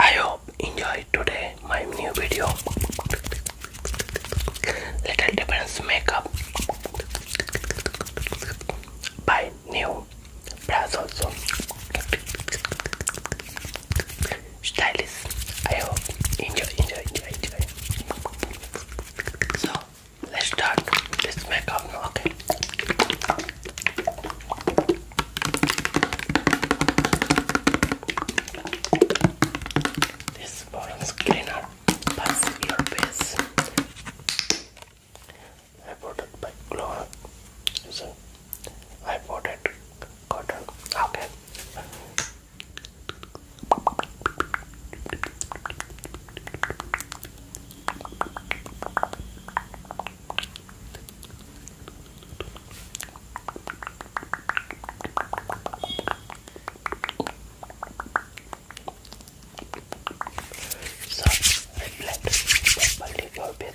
I hope enjoy today my new video Little Difference Makeup by New Brows also. Stylist. I hope enjoy, enjoy, enjoy, enjoy. So let's start this makeup now, okay? This bottom cleaner pass your face. I bought it by I bought it cotton. Okay. So, reflect properly your bed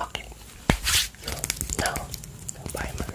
Okay. Now, bye, man.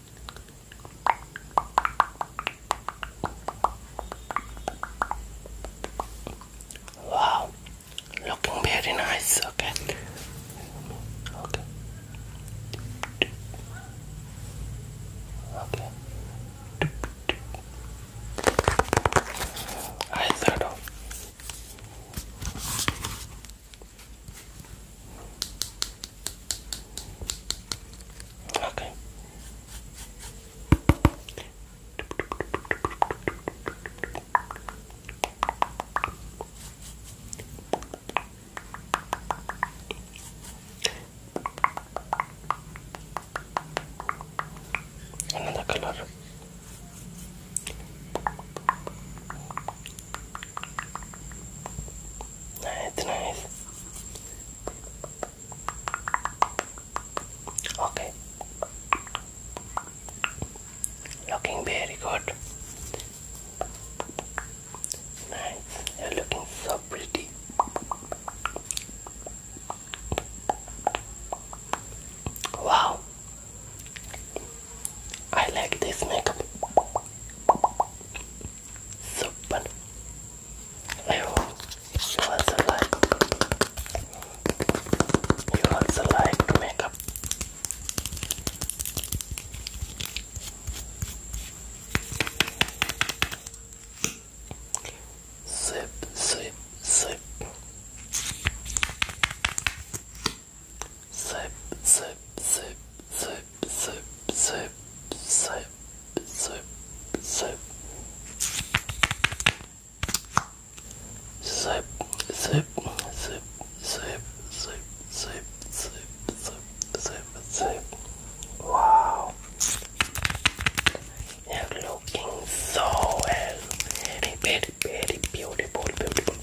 Wow, looking very nice. Okay, okay, okay. I thought Okay. Another color. Nice, nice. Okay. Looking very good. Nice. You're looking so pretty. Wow. I like this makeup. Super. I also like. You also like makeup. Sip, sip, sip. Sip, sip, sip, sip, sip, sip, sip, sip, sip. Sip, sip, sip, sip, sip, sip, sip, sip, sip, sip. Wow. You're looking so well. Repeat very beautiful, beautiful.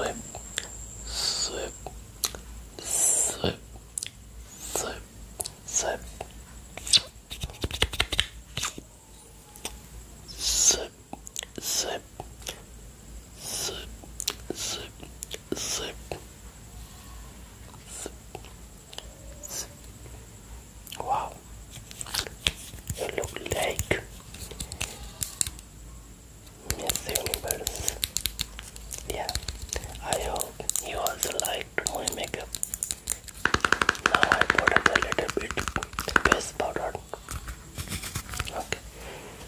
Okay. Sweep, sweep, sweep, sweep, sweep, sweep, sweep, sweep, sweep, zip, zip, zip. Wow, you look like Miss Universe. Yeah, I hope you also liked my makeup. Now I put up a little bit face powder. Okay,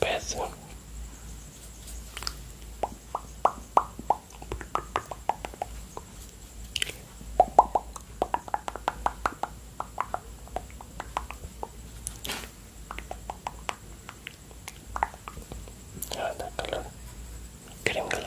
Peça. Anda, ah, color. Creme color.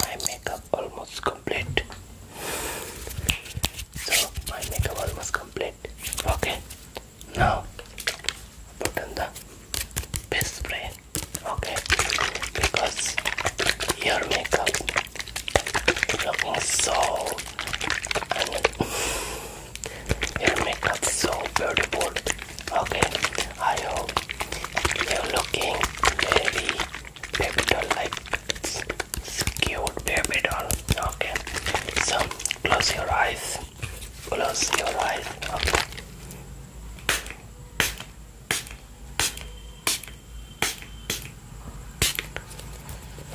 my makeup almost complete so my makeup almost complete okay now put on the base spray okay because your makeup looking so I your makeup so beautiful Okay, I hope you're looking very baby doll like cute baby doll. Okay, so close your eyes. Close your eyes. Okay.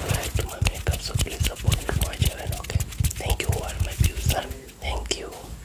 Right my makeup, please support my channel. Okay, thank you all my views. Thank you.